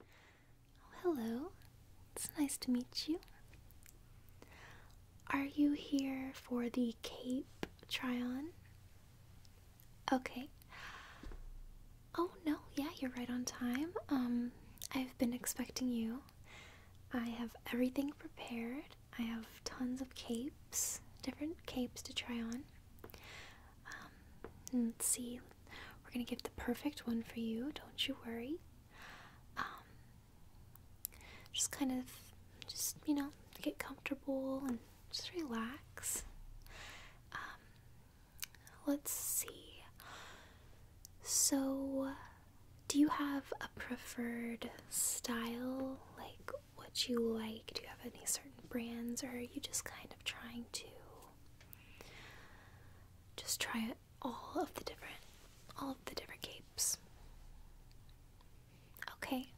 Oh, hello, it's nice to meet you. Are you here for the cape try on? Okay. Oh no, yeah, you're right on time. Um, I've been expecting you. I have everything prepared. I have tons of capes, different capes to try on. Um, let's see. We're gonna give the perfect one for you. Don't you worry. Um, just kind of, just you know, get comfortable and just relax. Um, let's see. So, do you have a preferred style? Like, what you like? Do you have any certain brands, or are you just kind of trying to just try all of the different all of the different capes. Okay.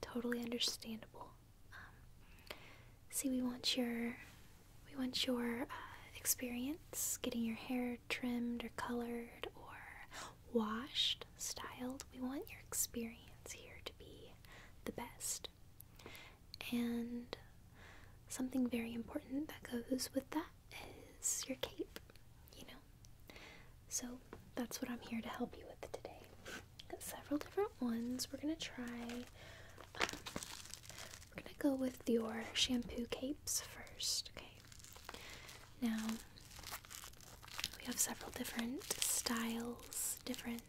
Totally understandable. Um, see, we want your we want your uh, experience getting your hair trimmed or colored or washed, styled. We want your experience here to be the best. And something very important that goes with that is your cape, you know? So that's what I'm here to help you with today. Got several different ones. We're gonna try, um, we're gonna go with your shampoo capes first, okay? Now, we have several different styles, different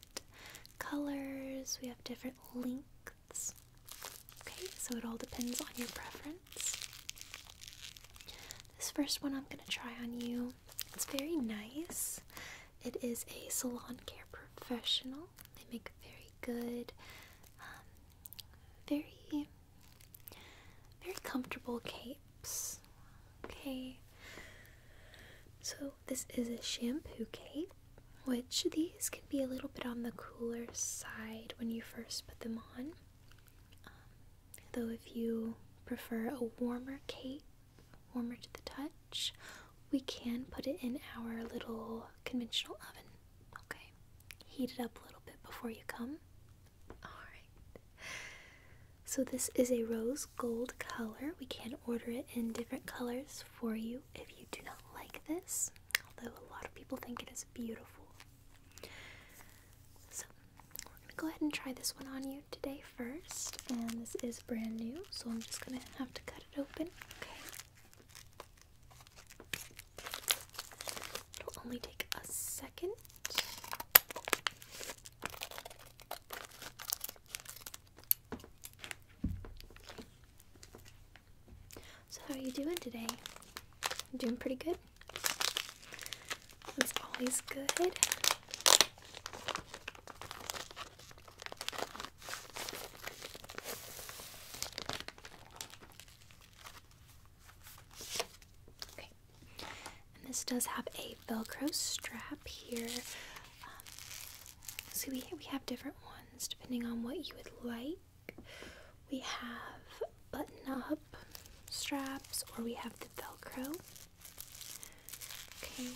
colors, we have different lengths. Okay, so it all depends on your preference. This first one I'm going to try on you. It's very nice. It is a salon care professional. They make very good, um, very, very comfortable capes. Okay, so this is a shampoo cape which these can be a little bit on the cooler side when you first put them on. Um, though, if you prefer a warmer cake, warmer to the touch, we can put it in our little conventional oven. Okay, heat it up a little bit before you come. Alright, so this is a rose gold color. We can order it in different colors for you if you do not like this, although a lot of people think it is beautiful. So, we're going to go ahead and try this one on you today first, and this is brand new, so I'm just going to have to cut it open. Okay. It'll only take a second. So how are you doing today? I'm doing pretty good. It's always good. Okay, and this does have a Velcro strap here. Um, so we we have different ones depending on what you would like. We have button-up straps, or we have the Velcro. Okay.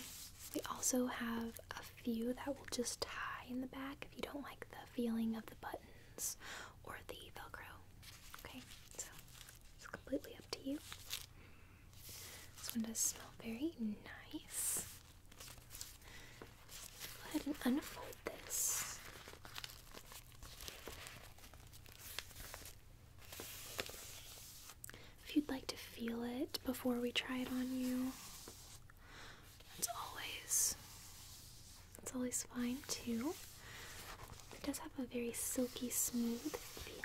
We also have a few that will just tie in the back if you don't like the feeling of the buttons or the Velcro. Okay. So it's completely up to you. This one does smell very nice. Go ahead and unfold this. If you'd like to feel it before we try it on you, that's always that's always fine too. It does have a very silky smooth feeling.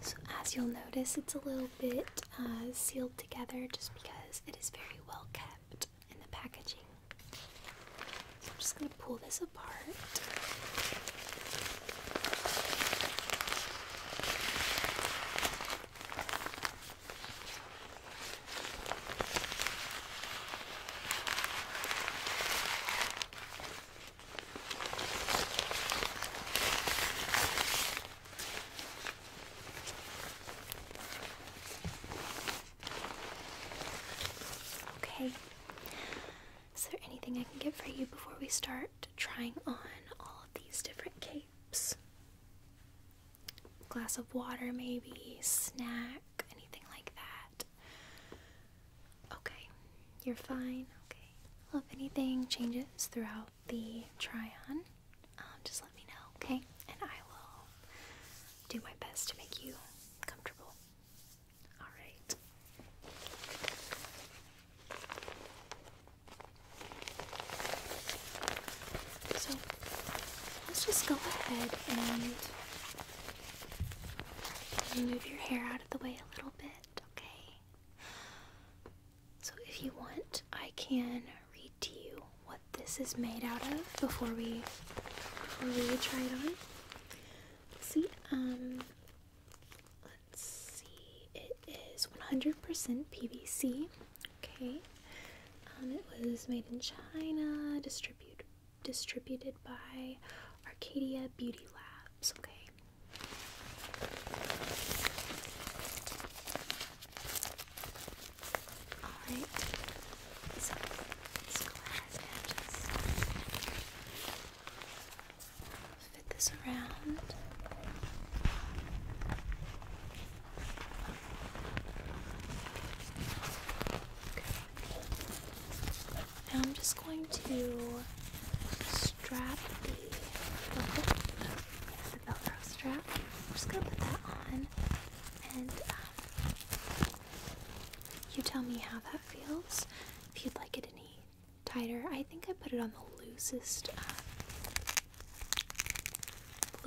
So, as you'll notice, it's a little bit uh, sealed together just because it is very well kept in the packaging. So, I'm just going to pull this apart. Okay. Is there anything I can get for you before we start trying on all of these different capes? Glass of water, maybe, snack, anything like that. Okay, you're fine. Okay. if anything changes throughout the try on, um, just let me know, okay? And I will do my best to make you comfortable. Alright. So, let's just go ahead and. Move your hair out of the way a little bit, okay? So, if you want, I can read to you what this is made out of before we before we try it on. See, um, let's see. It is 100% PVC. Okay. Um, it was made in China, distributed distributed by Arcadia Beauty Labs. Okay. Alright, so let's go ahead and just fit this around. Now I'm just going to strap, the velcro, the velcro strap. I'm just gonna put that on, and um, you tell me how that feels. If you'd like it any tighter, I think I put it on the loosest, the uh,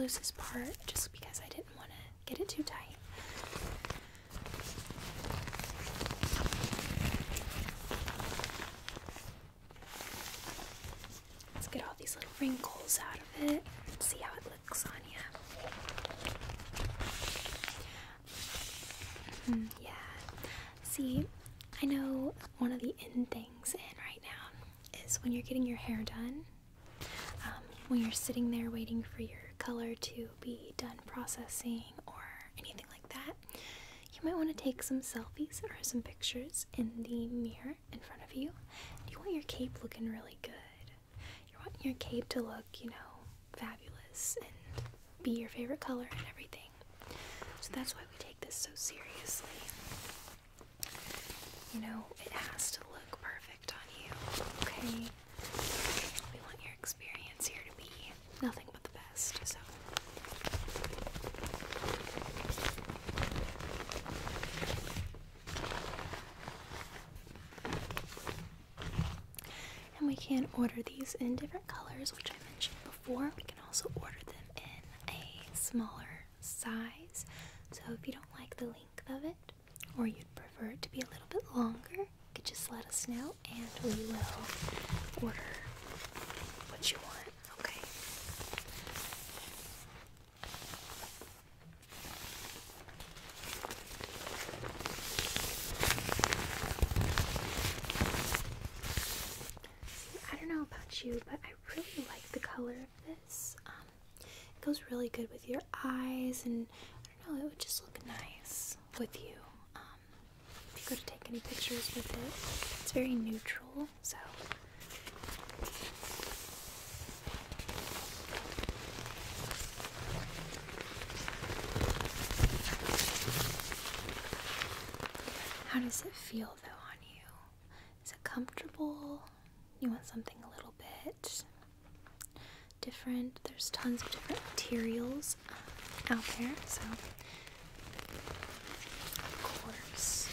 loosest part, just because I didn't want to get it too tight. Let's get all these little wrinkles out of it see how it looks on you. Hmm, yeah. See, I know one of the end things in right now is when you're getting your hair done, um, when you're sitting there waiting for your color to be done processing or anything like like that, you might want to take some selfies or some pictures in the mirror in front of you. You want your cape looking really good. You want your cape to look, you know, fabulous and be your favorite color and everything. So that's why we take this so seriously. You know, it has to look perfect on you, okay? We want your experience here to be nothing but the best. So and we can order these in different colors, which I mentioned before. We can also order them in a smaller size. So if you don't like the length of it, or you'd prefer it to be a little bit longer, you could just let us know and we will order what you want, I don't know about you, but I really like the color of this. Um, it goes really good with your eyes, and I don't know, it would just look nice with you. Um, if you go to take any pictures with it, it's very neutral, so. How does it feel though on you? Is it comfortable? You want something a little bit different? There's tons of different materials out there, so of course.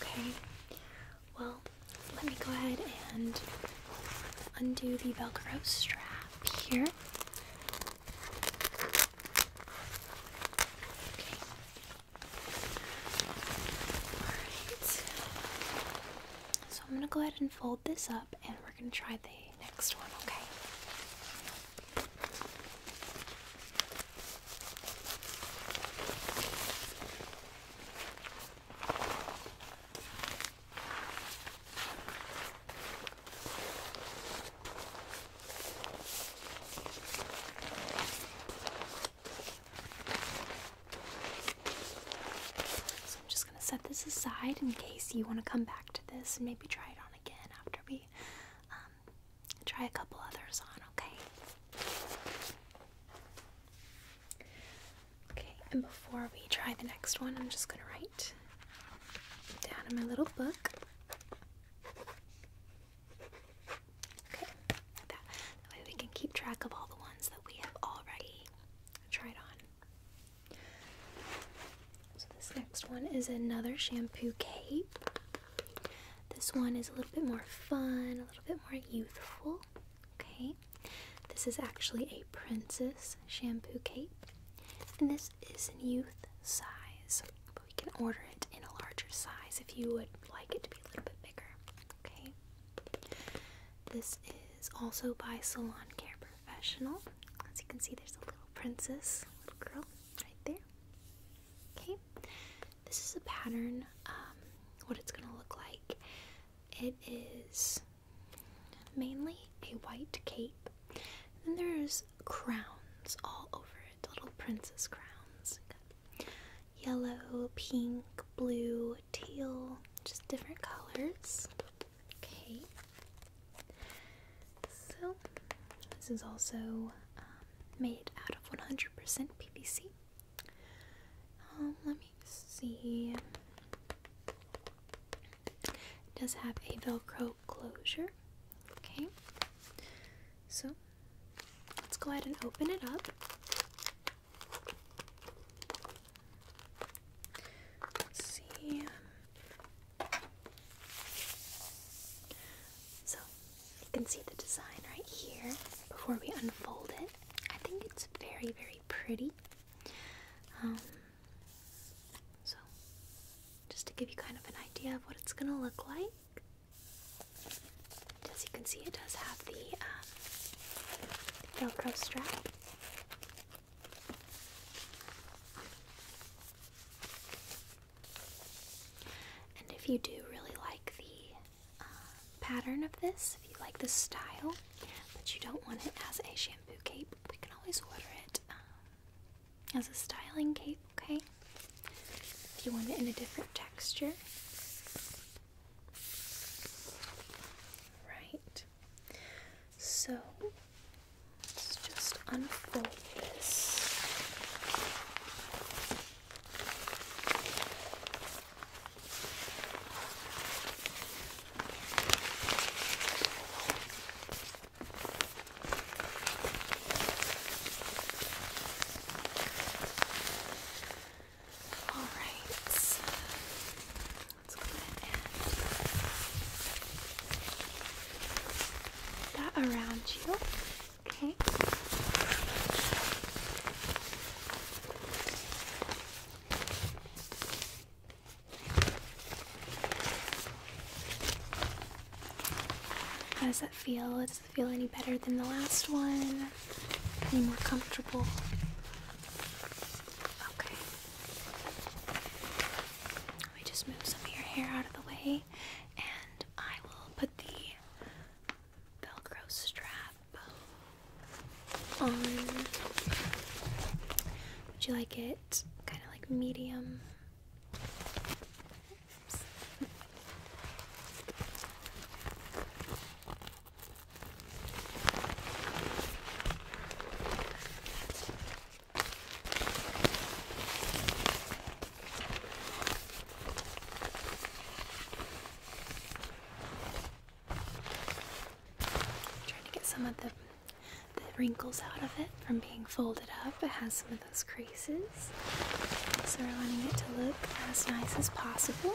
Okay, well, let me go ahead and undo the Velcro strap here. Okay. All right. So I'm going to go ahead and fold this up and we're going to try the next one, okay? So I'm just going to set this aside in case you want to come back to this and maybe try it on again after we um, try a couple others on, okay? Okay, and before we try the next one, I'm just going to write down in my little book. Okay, that way we can keep track of all the ones that we have already Try it on. So this next one is another shampoo cape. This one is a little bit more fun, a little bit more youthful. Okay. This is actually a princess shampoo cape. And this is in youth size. But we can order it in a larger size if you would like it to be a little bit bigger. Okay. This is also by Salon Care Professional. As you can see, there's a little princess, little girl right there. Okay, this is a pattern, um, what it's going to look like. It is mainly a white cape, Then there's crowns all over it, little princess crowns. Yellow, pink, blue, teal, just different colors. Okay. So, this is also um, made out of 100% PVC. Um, let me see. does have a Velcro closure. Okay. So, let's go ahead and open it up. Let's see. So you can see the design right here before we unfold it. I think it's very, very pretty. Um, so just to give you kind of an idea of what it's gonna look like as you can see, it does have the um, Velcro strap. And if you do really like the uh, pattern of this, if you like the style, but you don't want it as a shampoo cape, we can always order it um, as a styling cape, okay? If you want it in a different texture, Right. So let's just unfold this. Alright, let's go ahead and that around you. Okay. How does that feel? Does it feel any better than the last one? Any more comfortable? Okay. Let me just move some of your hair out of the way, and I will put the Velcro strap on. Would you like it kind of like medium? Trying to get some of the, the wrinkles out of it from being folded up. It has some of those creases. So we're wanting it to look as nice as possible.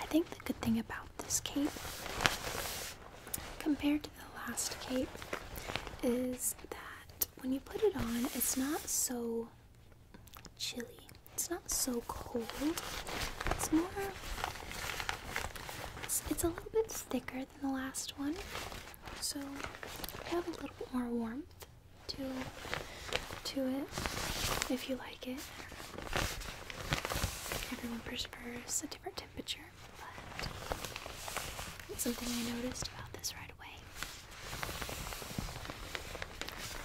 I think the good thing about this cape compared to the last cape is that when you put it on, it's not so chilly, it's not so cold, it's more. It's, a little bit thicker than the last one, so you have a little bit more warmth to to it if you like it. Everyone prefers a different temperature, but something I noticed about this right away.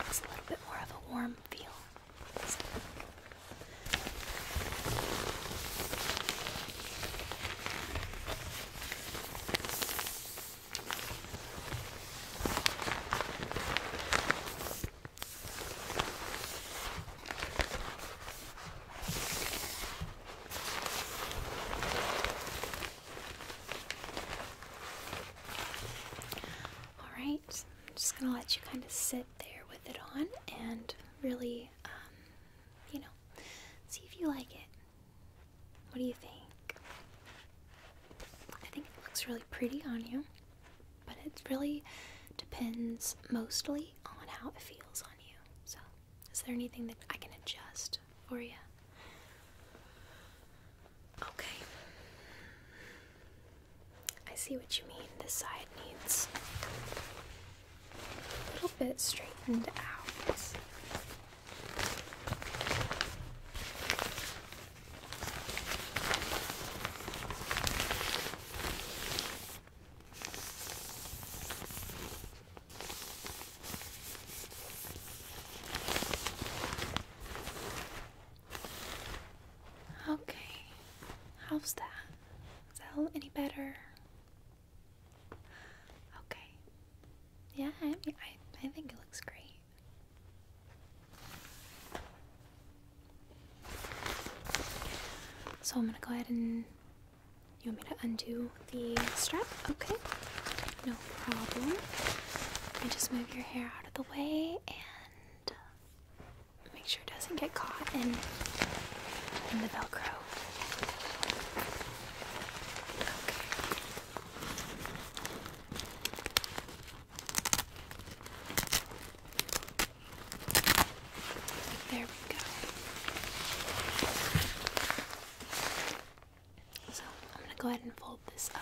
It's a little bit more of a warm feel. All just going to let you kind of sit there with it on and really, um, you know, see if you like it. What do you think? I think it looks really pretty on you. But it really depends mostly on how it feels on you. So, is there anything that I can adjust for you? Okay. I see what you mean. This side needs a little bit straightened out. Okay, how's that? Is that any better? Okay. Yeah, I I think it looks great. So I'm gonna go ahead and you want me to undo the strap? Okay, no problem. I just move your hair out of the way and uh, make sure it doesn't get caught in, in the Velcro. Okay. There we go. So I'm going to go ahead and fold this up.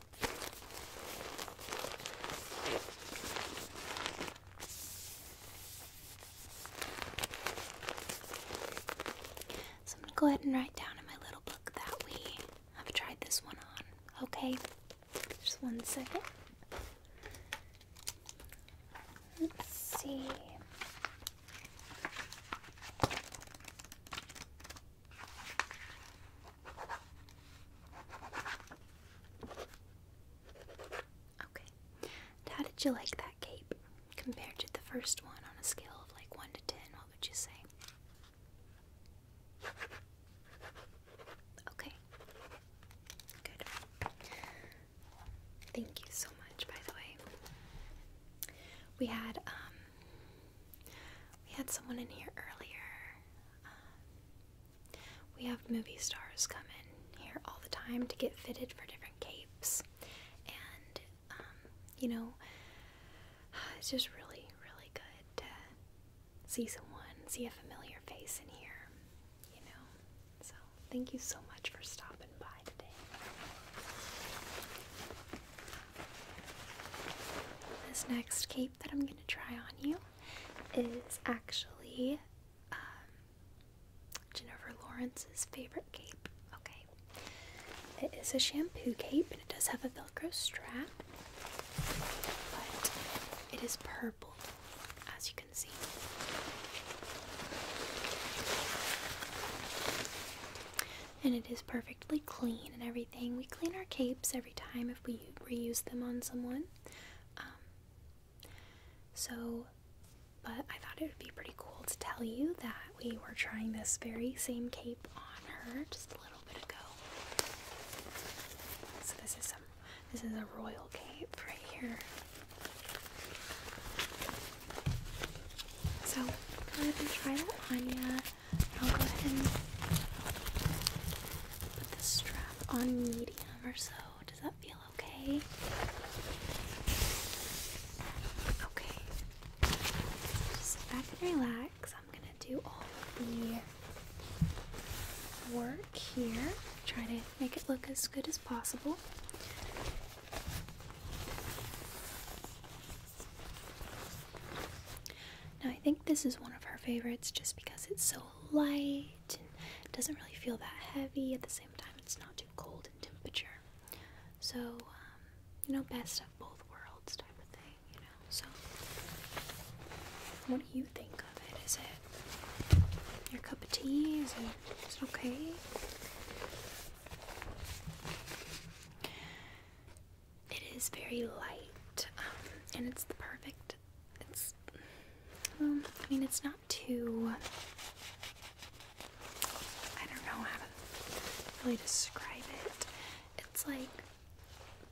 So I'm going to go ahead and write down in my little book that we have tried this one on. Okay, just one second. Let's see. Okay. how did you like that cape compared to the first one on a scale of like 1 to 10? What would you say? Okay. Good. Thank you so much, by the way. We had um we had someone in here earlier um, we have movie stars come in here all the time to get fitted for different capes, and um, you know, it's just really, really good to see someone, see a familiar face in here, you know. So, thank you so much for stopping by today. This next cape that I'm going to try on you is actually um, Jennifer Lawrence's favorite cape. Okay. It is a shampoo cape and it does have a velcro strap, but it is purple as you can see. And it is perfectly clean and everything. We clean our capes every time if we reuse them on someone. Um, so, but I thought it would be pretty cool to tell you that we were trying this very same cape on her just a little bit ago. So this is some, this is a royal cape right here. So go ahead and try that on ya. I'll go ahead and put the strap on medium or so. Does that feel okay? Okay. Just sit back and relax. I'm gonna do all the work here. Try to make it look as good as possible. Now, I think this is one of her favorites just because it's so light and doesn't really feel that heavy. At the same time, it's not too cold in temperature. So, um, you know, best of both worlds type of thing, you know. So, what do you think of it? Is it your cup of tea? Is it okay? It is very light, um, and it's the perfect. It's I mean, it's not too. I don't know how to really describe it. It's like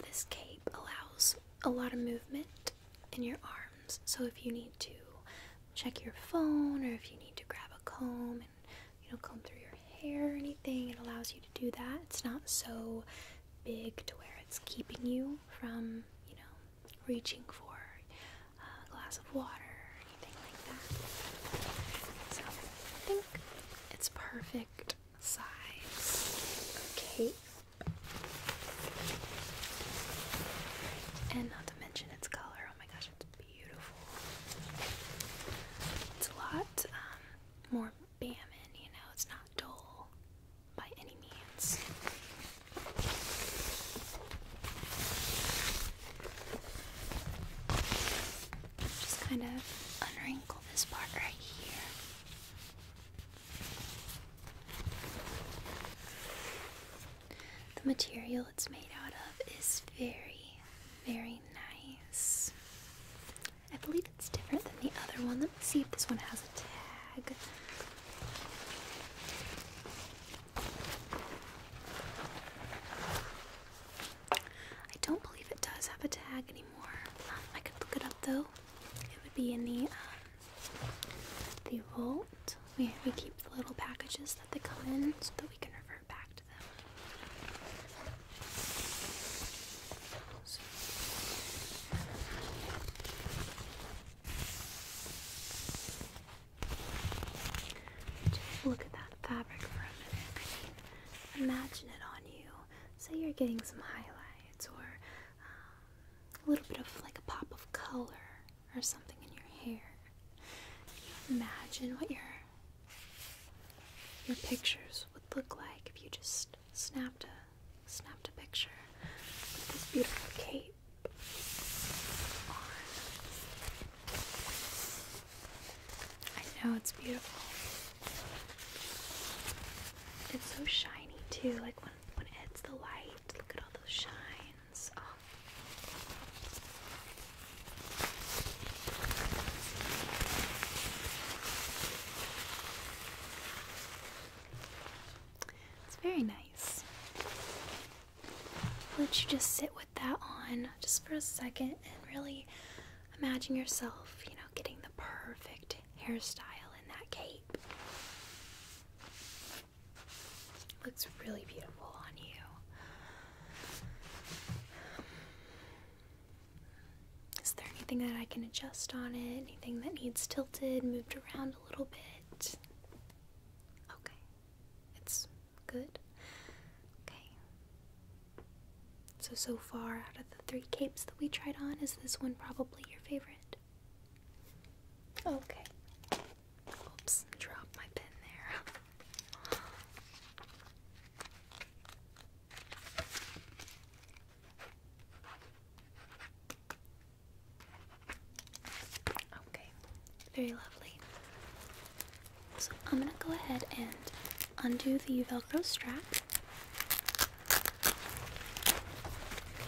this cape allows a lot of movement in your arms, so if you need to check your phone or if you need to grab a comb and you know comb through your hair or anything, it allows you to do that. It's not so big to where it's keeping you from, you know, reaching for a glass of water or anything like that. So I think it's perfect size. Okay. And not to mention its color. Oh my gosh, it's beautiful. It's a lot um, more Bammon, you know, it's not dull by any means. Just kind of unwrinkle this part right here. The material it's made out of is very, very nice. I believe it's different than the other one. Let me see if this one has a tag. I don't believe it does have a tag anymore. Um, I could look it up though. It would be in the um, the vault. We we keep the little packages that they come in so that we can revert back to them. So. look at that fabric for a minute. imagine it on you. Say you're getting some highlights or um, a little bit of like a pop of color or something in your hair. imagine what your your pictures would look like if you just snapped a snapped a picture with this beautiful cape I know it's beautiful. It's so shiny too, like when when it the light, look at all those shines. Oh. It's very nice. let you just sit with that on just for a second and really imagine yourself, you know, getting the perfect hairstyle in that cape. looks really beautiful on you. Is there anything that I can adjust on it? Anything that needs tilted, moved around a little bit? Okay. It's good. Okay. So, so far, out of the three capes that we tried on, is this one probably your favorite? Okay. Oops, dropped my pen there. Okay, very lovely. So I'm gonna go ahead and undo the Velcro strap.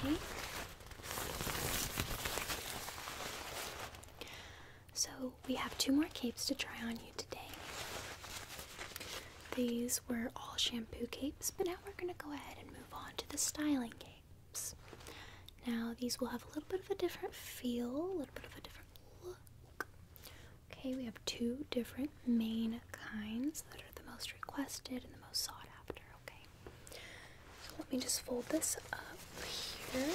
Okay. So we have two more capes to try on you today. These were all shampoo capes, but now we're going to go ahead and move on to the styling capes. Now, these will have a little bit of a different feel, a little bit of a different look. Okay, we have two different main kinds that are the most requested and the most sought after. Okay, so let me just fold this up here.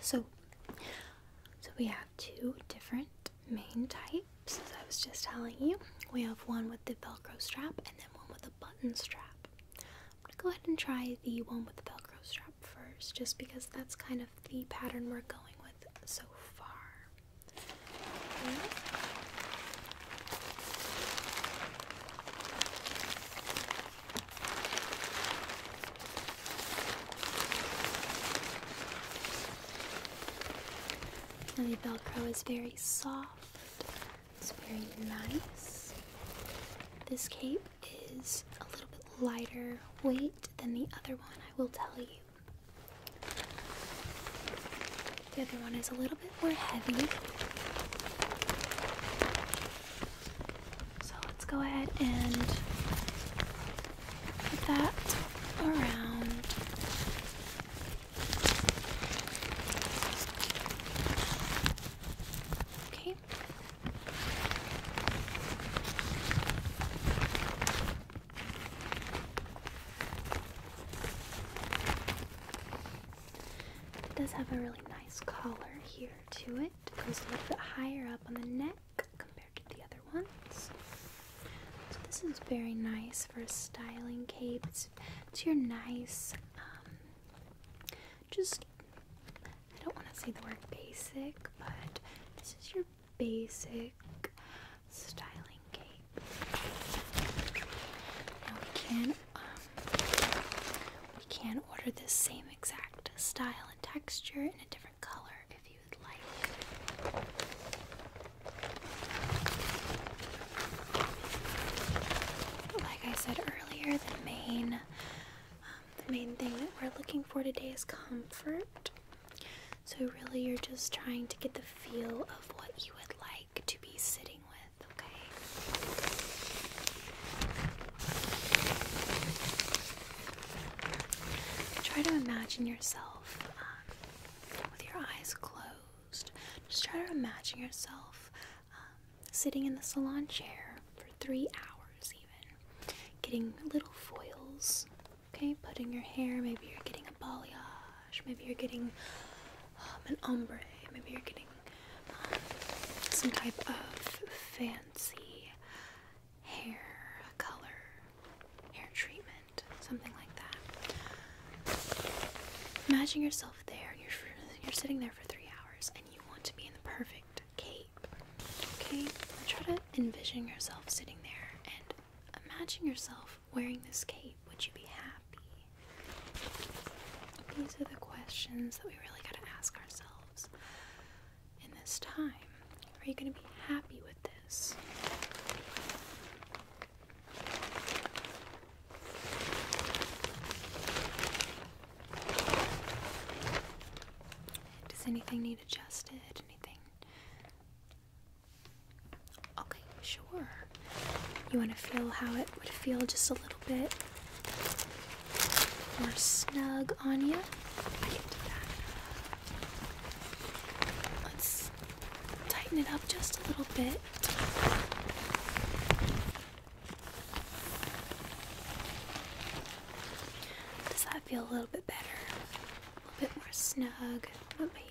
So, so we have two different main types, as I was just telling you. We have one with the Velcro strap and then one with a button strap. I'm gonna go ahead and try the one with the Velcro strap first, just because that's kind of the pattern we're going with so far the Velcro is very soft, it's very nice. This cape is a little bit lighter weight than the other one, I will tell you. The other one is a little bit more heavy. So let's go ahead and put that around. Okay. It does have a really nice collar here to it. goes a little bit higher up on the neck compared to the other ones. So this is very nice for styling cape. It's, your nice, um, just, I don't want to say the word basic, but this is your basic styling cape. Now we can we can order this same exact style and texture in a different color if you would like. Like I said earlier, the main um, the main thing that we're looking for today is comfort. So really, you're just trying to get the feel of what you would like to be sitting with okay? Try to imagine yourself um, with your eyes closed. Just try to imagine yourself um, sitting in the salon chair for three hours, even getting little foils. Okay, putting your hair. Maybe you're getting a balayage. Maybe you're getting um, an ombre. Maybe you're getting some type of fancy hair color, hair treatment, something like that. Imagine yourself there. You're you're sitting there for three hours, and you want to be in the perfect cape. Okay, try to envision yourself sitting there and imagine yourself wearing this cape. Would you be happy? These are the questions that we really got to ask ourselves in this time. Are you going to be happy with this? Does anything need adjusted? Anything? Okay, sure. You want to feel how it would feel just a little bit more snug on you. Let's tighten it up just a little bit. Does that feel a little bit better? A little bit more snug. okay.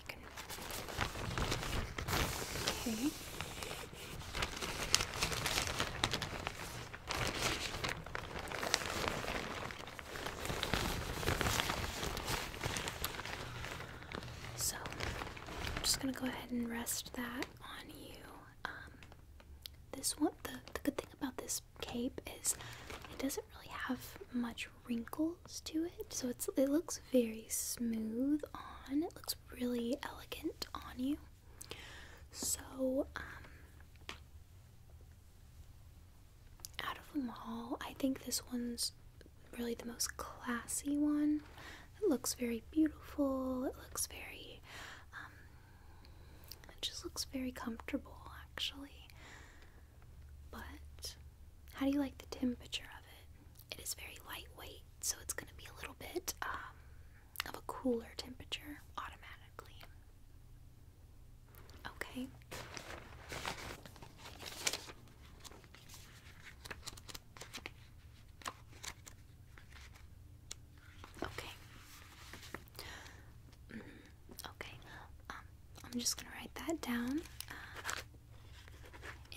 So, I'm just going to go ahead and rest that on you. Um, this one, the, the good thing about this cape is it doesn't really have much wrinkles to it, so it's, it looks very smooth on. It looks really elegant on you. So, um, out of them all, I think this one's really the most classy one. It looks very beautiful. It looks very, um, it just looks very comfortable, actually. But how do you like the temperature of it? It is very lightweight, so it's going to be a little bit, um, of a cooler temperature automatically. Okay. Okay. Mm-hmm. okay. Um, I'm just gonna write that down. Uh,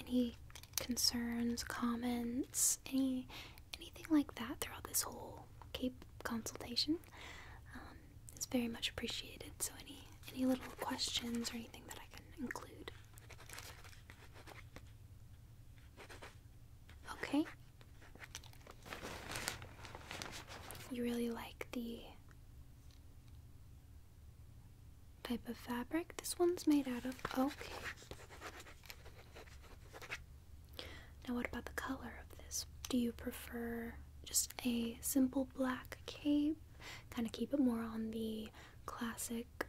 any concerns, comments, any anything like that throughout this whole CAPE consultation um, is very much appreciated. So any any little questions or anything that I can include. Okay. You really like the type of fabric this one's made out of. Okay. Now, what about the color of this? Do you prefer just a simple black cape? Kind of keep it more on the classic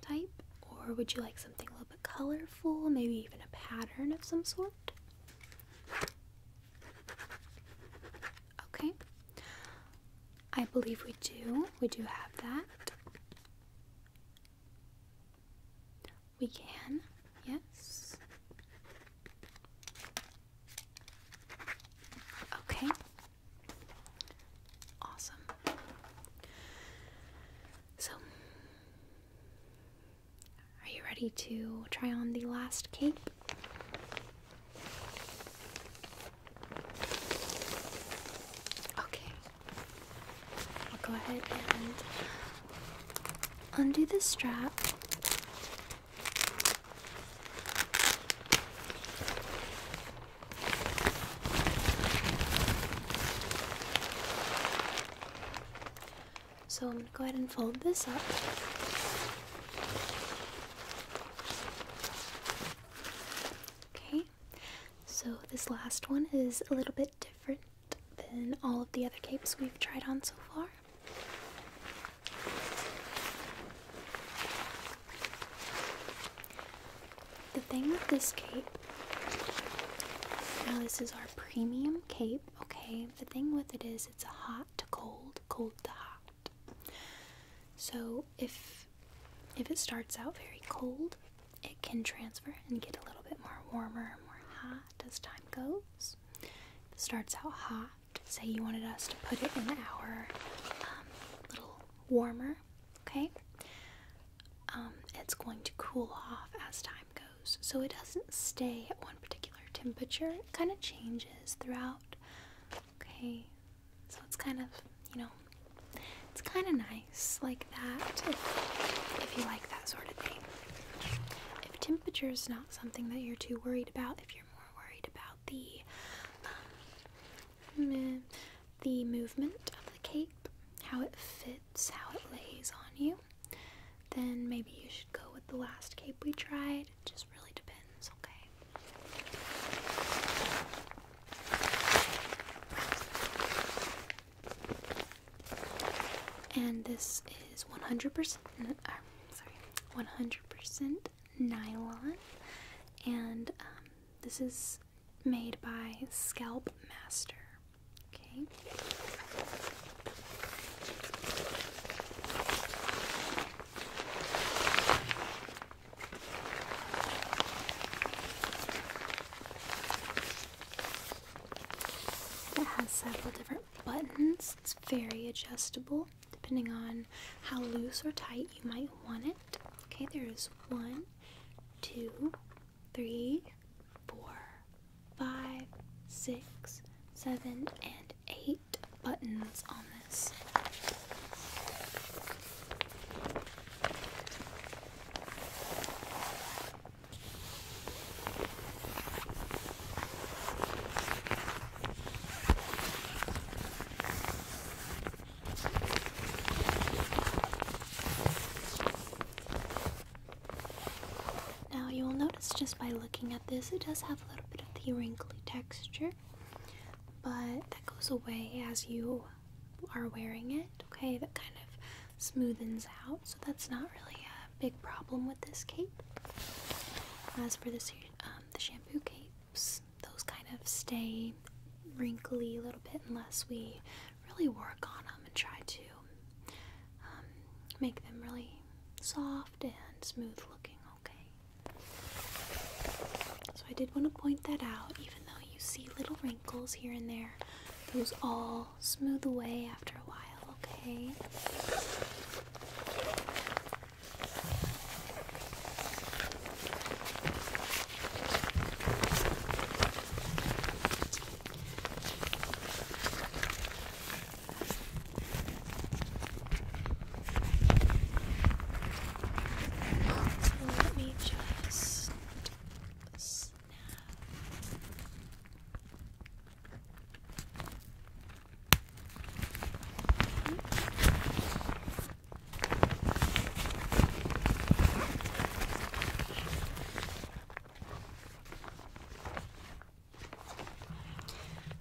type? Or would you like something a little bit colorful? Maybe even a pattern of some sort? Okay. I believe we do. We do have that. We can, yes. Okay. Awesome. So, are you ready to try on the last cape? Okay. I'll go ahead and undo the strap. So I'm going to go ahead and fold this up. Okay. So, this last one is a little bit different than all of the other capes we've tried on so far. The thing with this cape, now this is our premium cape, okay? The thing with it is it's a hot to cold, cold to hot. So if if it starts out very cold, it can transfer and get a little bit more warmer and more hot as time goes. starts out hot. Say you wanted us to put it in our um, little warmer, okay? Um, it's going to cool off as time goes. So it doesn't stay at one particular temperature. It kind of changes throughout, okay? So it's kind of, you know, it's kind of nice like that if, you like that sort of thing. If temperature is not something that you're too worried about, if you're more worried about the um, the movement of the cape, how it fits, how it lays on you, then maybe you should go with the last cape we tried. It just really depends, okay? And this is 100%, uh, sorry, 100% nylon. And um, this is made by Scalp Master. Okay. It has several different buttons. It's very adjustable depending on how loose or tight you might want it. Okay, there's one, two, three, four, five, six, seven, and eight buttons on this. Now you will notice just by looking at this, it does have a little bit of the wrinkly texture, but that goes away as you are wearing it, okay, that kind of smoothens out, so that's not really a big problem with this cape. As for the um, shampoo capes, those kind of stay wrinkly a little bit unless we really work on them and try to um, make them really soft and smooth looking, okay? So I did want to point that out, even though you see little wrinkles here and there. Those all smooth away after a while, okay? let me just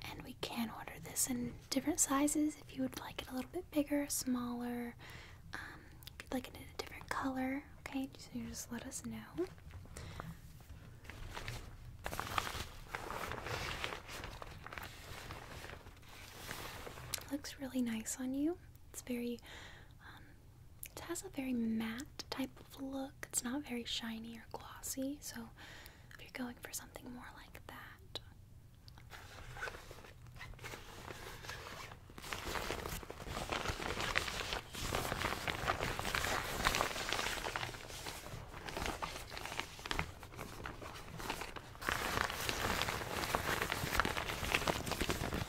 and we can order this in different sizes if you would like it a little bit bigger, smaller, um, like it in a different color, okay, so just let us know. Looks really nice on you. It's very, um, it has a very matte type of look. It's not very shiny or glossy, so if you're going for something more like that.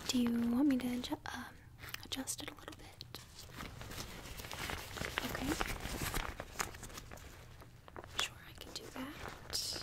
Do you want me to um, adjust it a little bit? Okay. Sure, I can do that.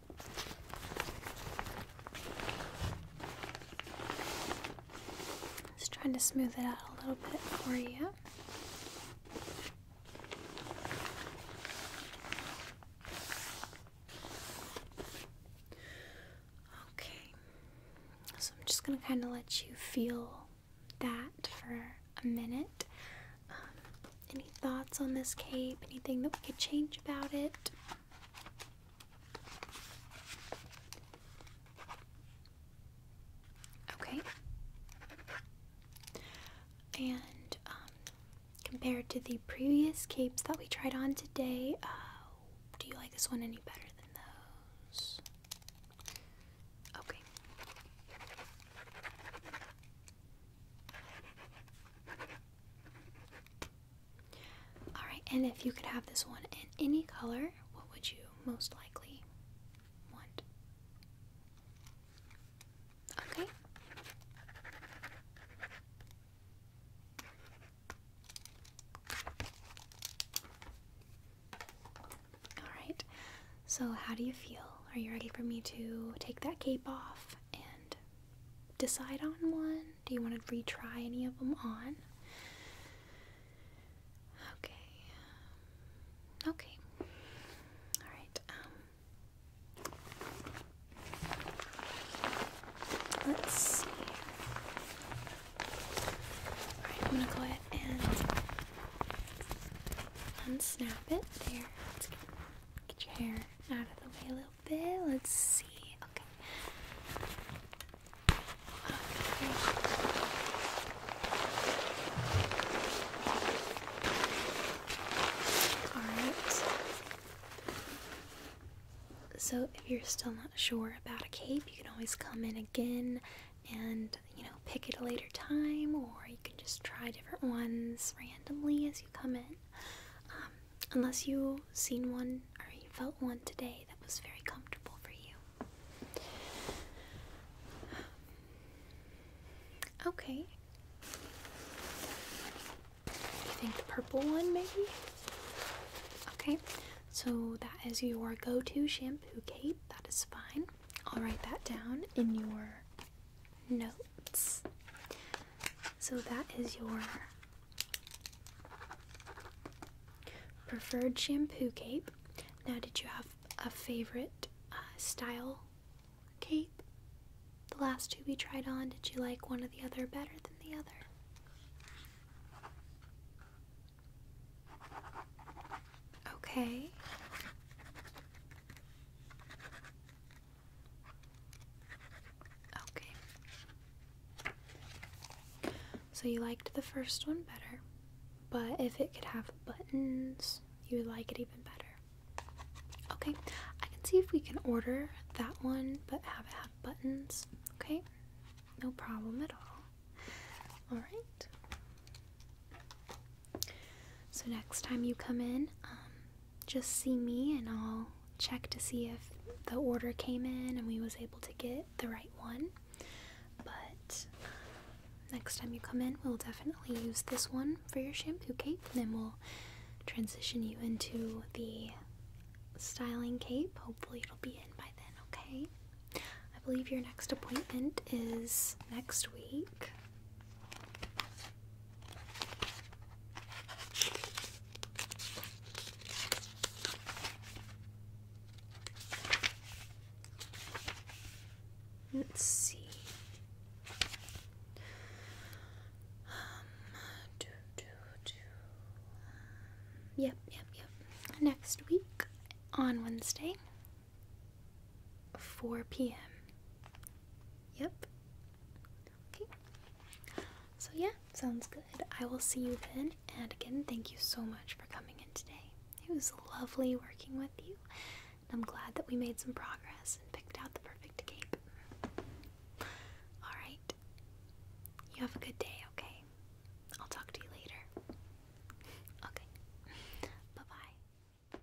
Just trying to smooth it out a little bit for you. Okay, so I'm just going to kind of let you feel that for a minute. Um, any thoughts on this cape? Anything that we could change about it? Okay. And um, compared to the previous capes that we tried on today, uh, do you like this one any better than those? Okay. Alright, and if you could have this one in any color, what would you most likely want? Okay. Alright, so how do you feel? Are you ready for me to take that cape off and decide on one. Do you want to retry any of them on? Okay. Um, okay. Alright, um, Let's see. I'm gonna go ahead and unsnap it. There. Get your hair out of the way a little bit. Let's see. Okay. Alright. So if you're still not sure about a cape, you can always come in again and you know pick it a later time or you can just try different ones randomly as you come in um, unless you seen one or you felt one today that was very comfortable for you. Okay. You think the purple one maybe? Okay, so that is your go to shampoo cape. That is fine. I'll write that down in your notes. So that is your preferred shampoo cape. Now, did you have a favorite uh, style cape? The last two we tried on, did you like one or the other better than the other? Okay. Okay. So you liked the first one better, but if it could have buttons, you would like it even better. Okay, I can see if we can order that one but have it have buttons. Okay, no problem at all. Alright. So next time you come in, um, just see me and I'll check to see if the order came in and we was able to get the right one. But uh, next time you come in, we'll definitely use this one for your shampoo cape. And then we'll transition you into the styling cape. Hopefully it'll be in by then, okay? I believe your next appointment is next week. Let's see. Um, do, Yep, yep, yep. Next week on Wednesday, 4 p.m. Yep. Okay. So, yeah, sounds good. I will see you then. And again, thank you so much for coming in today. It was lovely working with you. I'm glad that we made some progress and picked out the perfect cape. Alright. You have a good day, okay? I'll talk to you later. Okay. Bye bye.